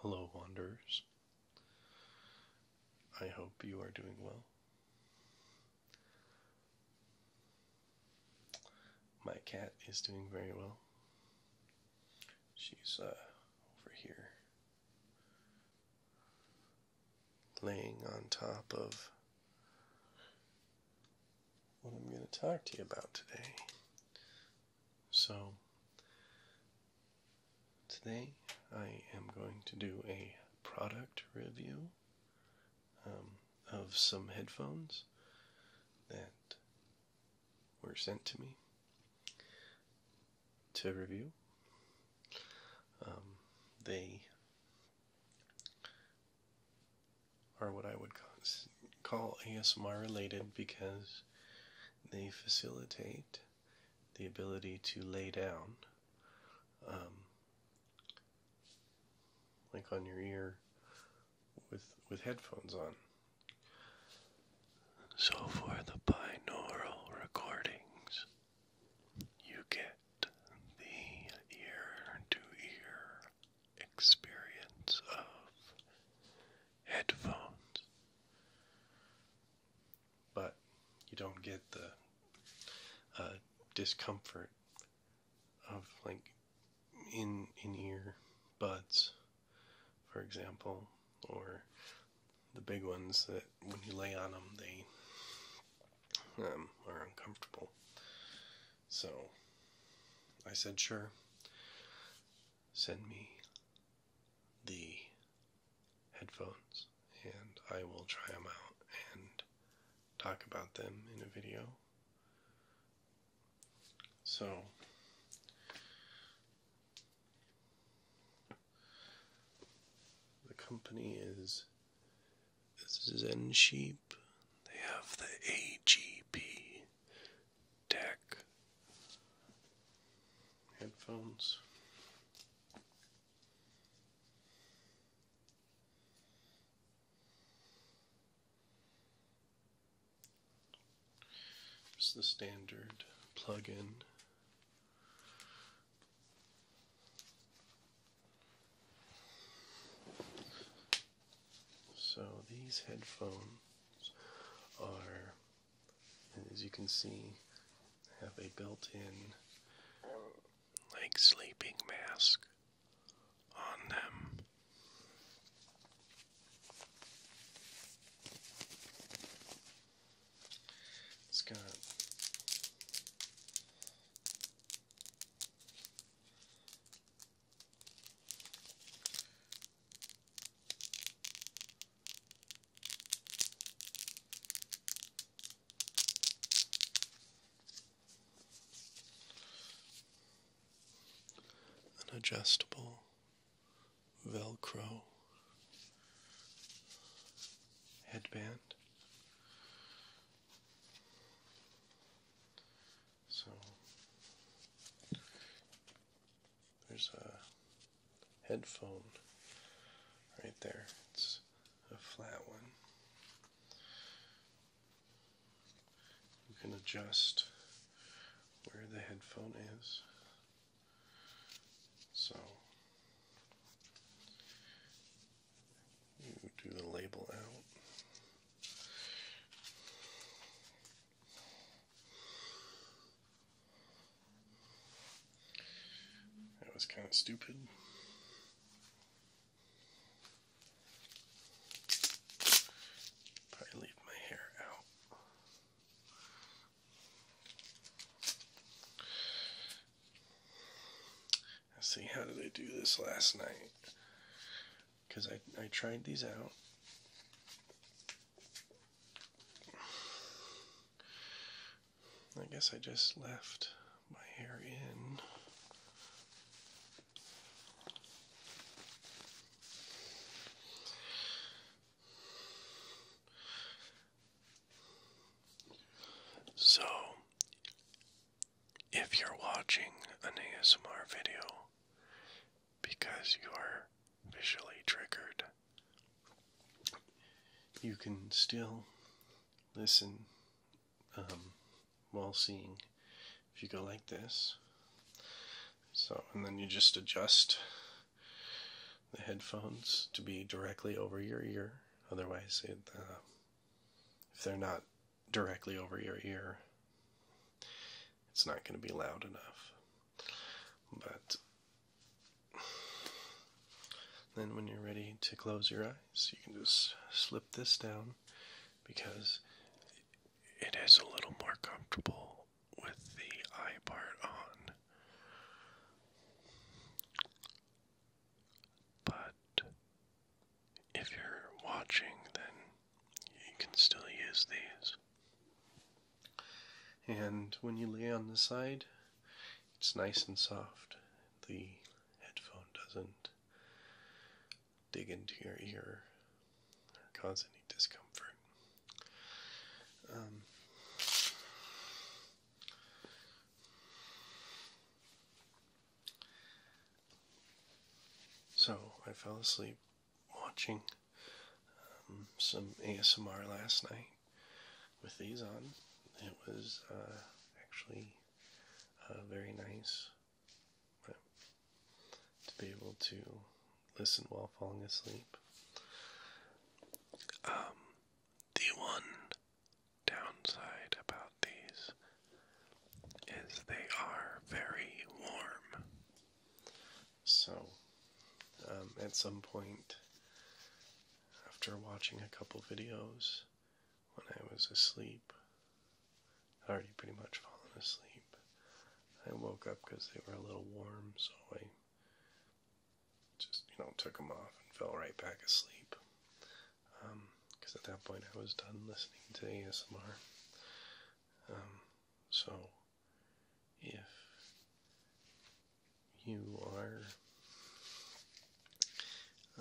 Hello, Wanderers. I hope you are doing well. My cat is doing very well. She's uh, over here laying on top of what I'm going to talk to you about today. So, today I am going to do a product review um, of some headphones that were sent to me to review. Um, they are what I would call ASMR related because they facilitate the ability to lay down um, like on your ear with with headphones on. So for the binaural recordings, you get the ear to ear experience of headphones. But you don't get the uh, discomfort of like in in ear buds, for example, or the big ones that when you lay on them they um, are uncomfortable. So I said, sure, send me the headphones and I will try them out and talk about them in a video. So the company is Zen Sheep. They have the AGP deck headphones. It's the standard plug-in. So these headphones are, as you can see, have a built-in like sleeping mask on them. It's got an adjustable Velcro headband. So there's a headphone right there. It's a flat one. You can adjust where the headphone is. So you do the label out. That was kind of stupid. Probably leave my hair out. Let's see, how did I do this last night? Because I, I tried these out. I guess I just left my hair in. So, if you're watching an ASMR video because you are visually triggered, you can still listen um, while seeing. If you go like this, so and then you just adjust the headphones to be directly over your ear. Otherwise, uh, if they're not directly over your ear, it's not going to be loud enough. But then, when you're ready to close your eyes so you can just slip this down because it is a little more comfortable with the eye part on. But if you're watching, then you can still use these. And when you lay on the side, it's nice and soft. The headphone doesn't dig into your ear or cause any discomfort. Um, so I fell asleep watching um, some ASMR last night with these on. It was uh, actually uh, very nice. to be able to listen while falling asleep. Um, the one downside about these is they are very warm. So, um, at some point, after watching a couple videos, when I was asleep. I'd already pretty much fallen asleep. I woke up because they were a little warm, so I just, you know, took them off and fell right back asleep. Because um, at that point I was done listening to ASMR. Um, so if you are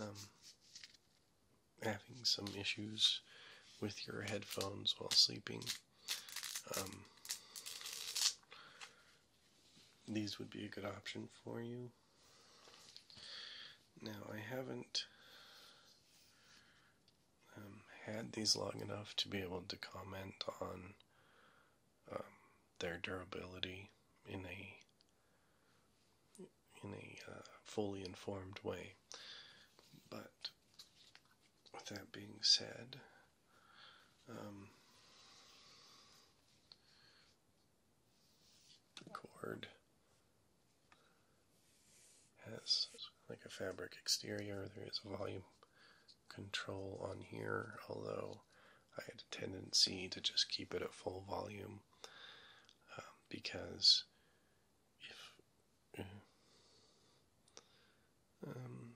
um, having some issues with your headphones while sleeping, um, these would be a good option for you. Now, I haven't um, had these long enough to be able to comment on their durability in a in a uh, fully informed way. But with that being said, um, the cord has like a fabric exterior. There is volume control on here, although I had a tendency to just keep it at full volume um, because if. Uh, um,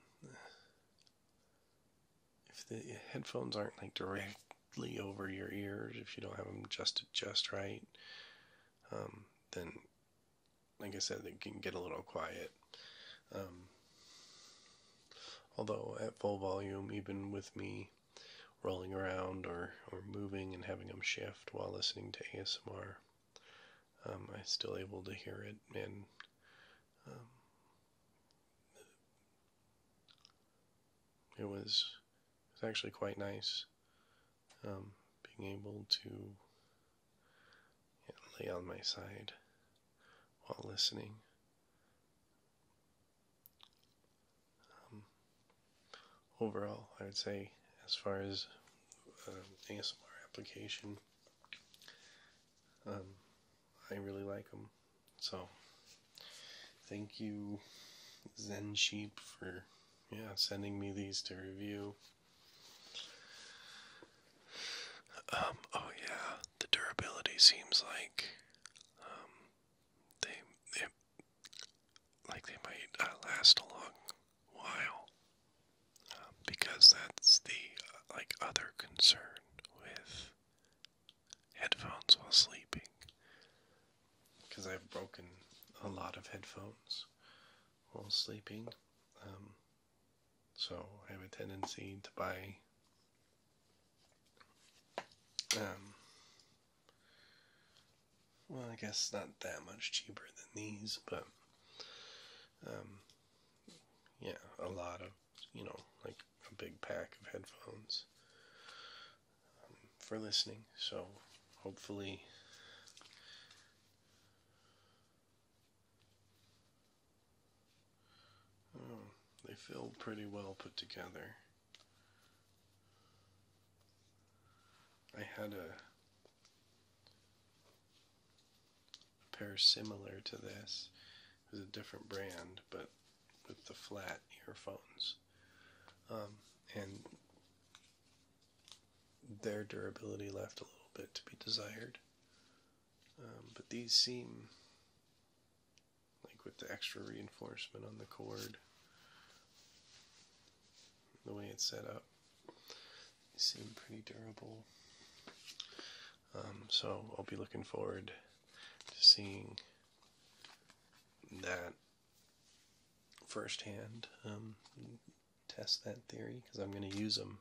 if the headphones aren't like directly over your ears, if you don't have them adjusted just right, um, then like I said, they can get a little quiet. Although at full volume, even with me rolling around or, or moving and having them shift while listening to ASMR, um, I'm still able to hear it and um, it was it actually quite nice um, being able to lay on my side while listening um, overall, I would say, as far as um, ASMR application, um, I really like them. So, thank you, Zen Sheep, for yeah sending me these to review. Um, oh yeah, the durability seems like um, they, like they might uh, last a long while um, because that's the uh, like other concern with headphones while sleeping. Because I've broken a lot of headphones while sleeping. So I have a tendency to buy um, well I guess not that much cheaper than these, but um, yeah, a lot of you know, like a big pack of headphones um, for listening. So hopefully Hmm, they feel pretty well put together. I had a, pair similar to this. It was a different brand, but with the flat earphones. Um, and their durability left a little bit to be desired. Um, but these seem like with the extra reinforcement on the cord, the way it's set up, seem pretty durable. Um, so I'll be looking forward to seeing that firsthand, um, test that theory because I'm going to use them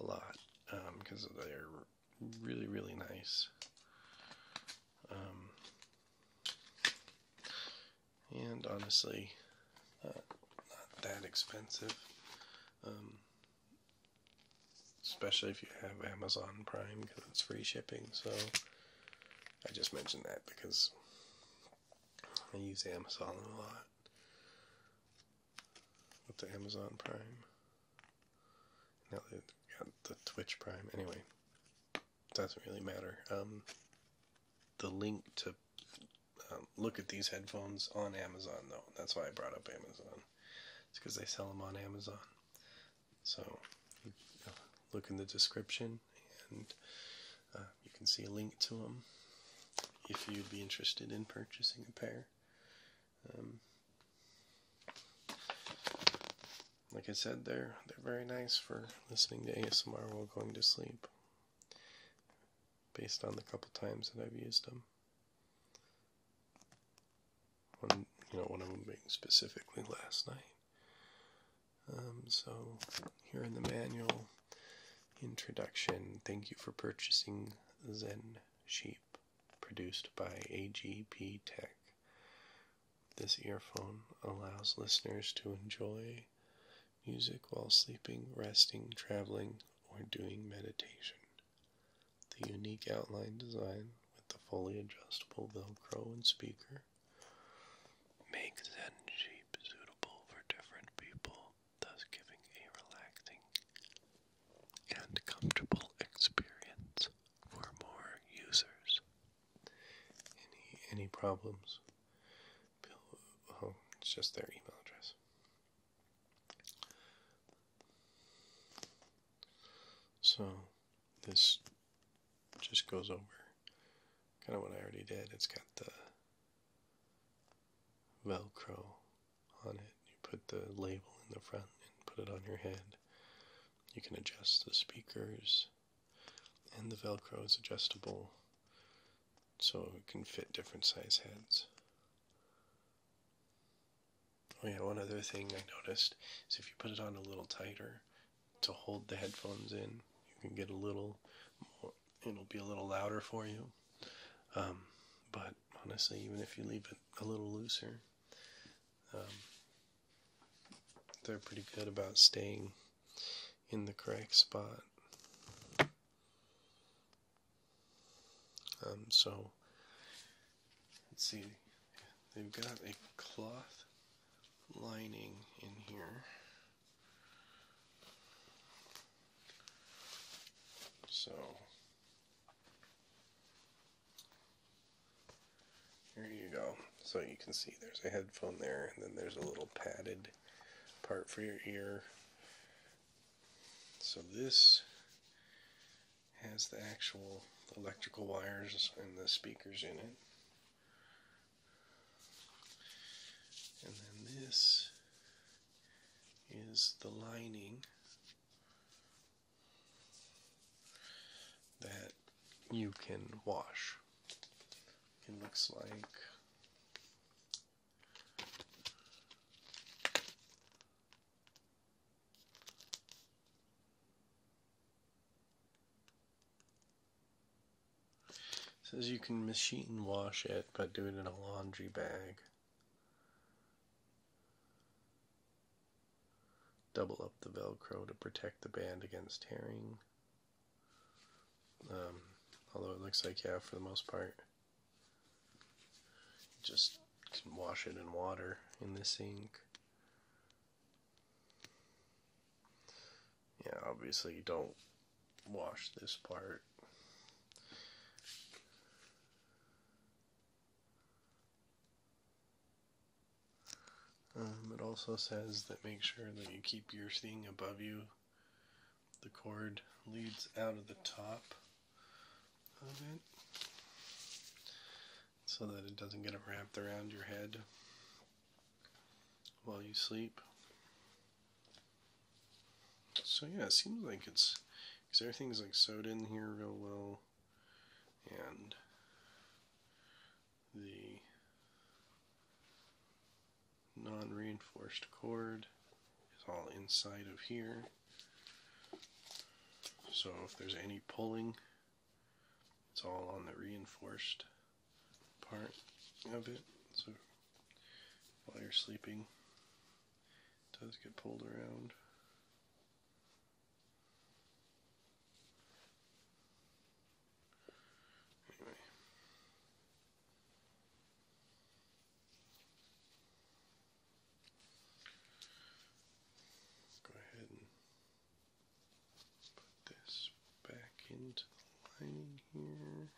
a lot because they're really, really nice. Um, and honestly, uh, not, that expensive. Um, especially if you have Amazon Prime because it's free shipping. So I just mentioned that because I use Amazon a lot with the Amazon Prime. Now they got the Twitch Prime. Anyway, doesn't really matter. Um, the link to um, look at these headphones on Amazon, though. That's why I brought up Amazon. It's because they sell them on Amazon. So look in the description and uh, you can see a link to them if you'd be interested in purchasing a pair. Um, like I said, they're they're very nice for listening to ASMR while going to sleep. Based on the couple times that I've used them, you know one of them being specifically last night. Um, so here in the manual introduction, thank you for purchasing Zen Sheep, produced by AGP Tech. This earphone allows listeners to enjoy music while sleeping, resting, traveling, or doing meditation. The unique outline design with the fully adjustable Velcro and speaker makes Zen Sheep suitable for different people thus giving a relaxing and comfortable experience for more users. Any any problems? oh, it's just their email address. So this just goes over kind of what I already did. It's got the Velcro on it. You put the label in the front and put it on your head. You can adjust the speakers, and the Velcro is adjustable so it can fit different size heads. Oh, yeah, one other thing I noticed is if you put it on a little tighter to hold the headphones in, you can get a little more, it'll be a little louder for you. Um, but honestly, even if you leave it a little looser, um, they're pretty good about staying in the correct spot. Um, so, let's see, they've got a cloth lining in here. So here you go. So you can see there's a headphone there, and then there's a little padded part for your ear. So this has the actual electrical wires and the speakers in it. And then this is the lining that you can wash. It looks like it says you can machine wash it, but do it in a laundry bag. Double up the Velcro to protect the band against tearing. Um, although it looks like, yeah, for the most part, just wash it in water in the sink. Yeah, obviously you don't wash this part. Um, it also says that make sure that you keep your thing above you. The cord leads out of the top of it so that it doesn't get wrapped around your head while you sleep. So yeah, it seems like it's because everything's like sewed in here real well, and the non-reinforced cord is all inside of here. So if there's any pulling, it's all on the reinforced part of it. So while you're sleeping, it does get pulled around. Anyway. Go ahead and put this back into the lining here.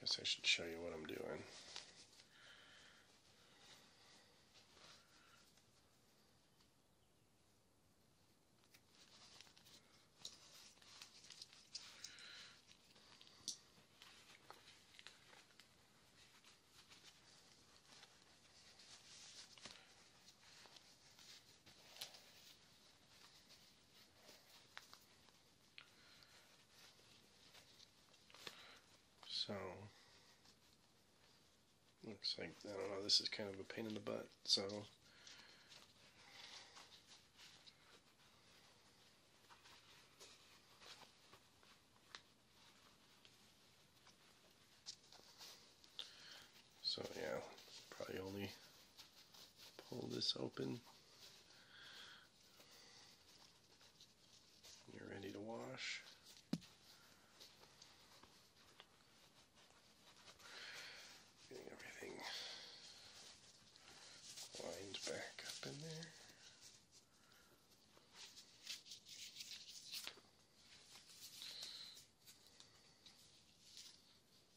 Guess I should show you what I'm doing. So, looks like, I don't know, this is kind of a pain in the butt, so. So yeah, probably only pull this open. You're ready to wash. Getting everything lined back up in there.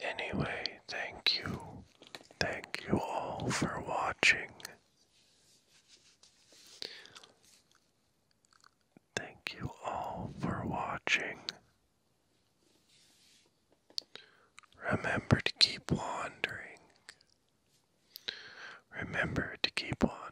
Anyway, thank you. Thank you all for watching. Thank you all for watching. Remember to keep wandering. Remember to keep wandering.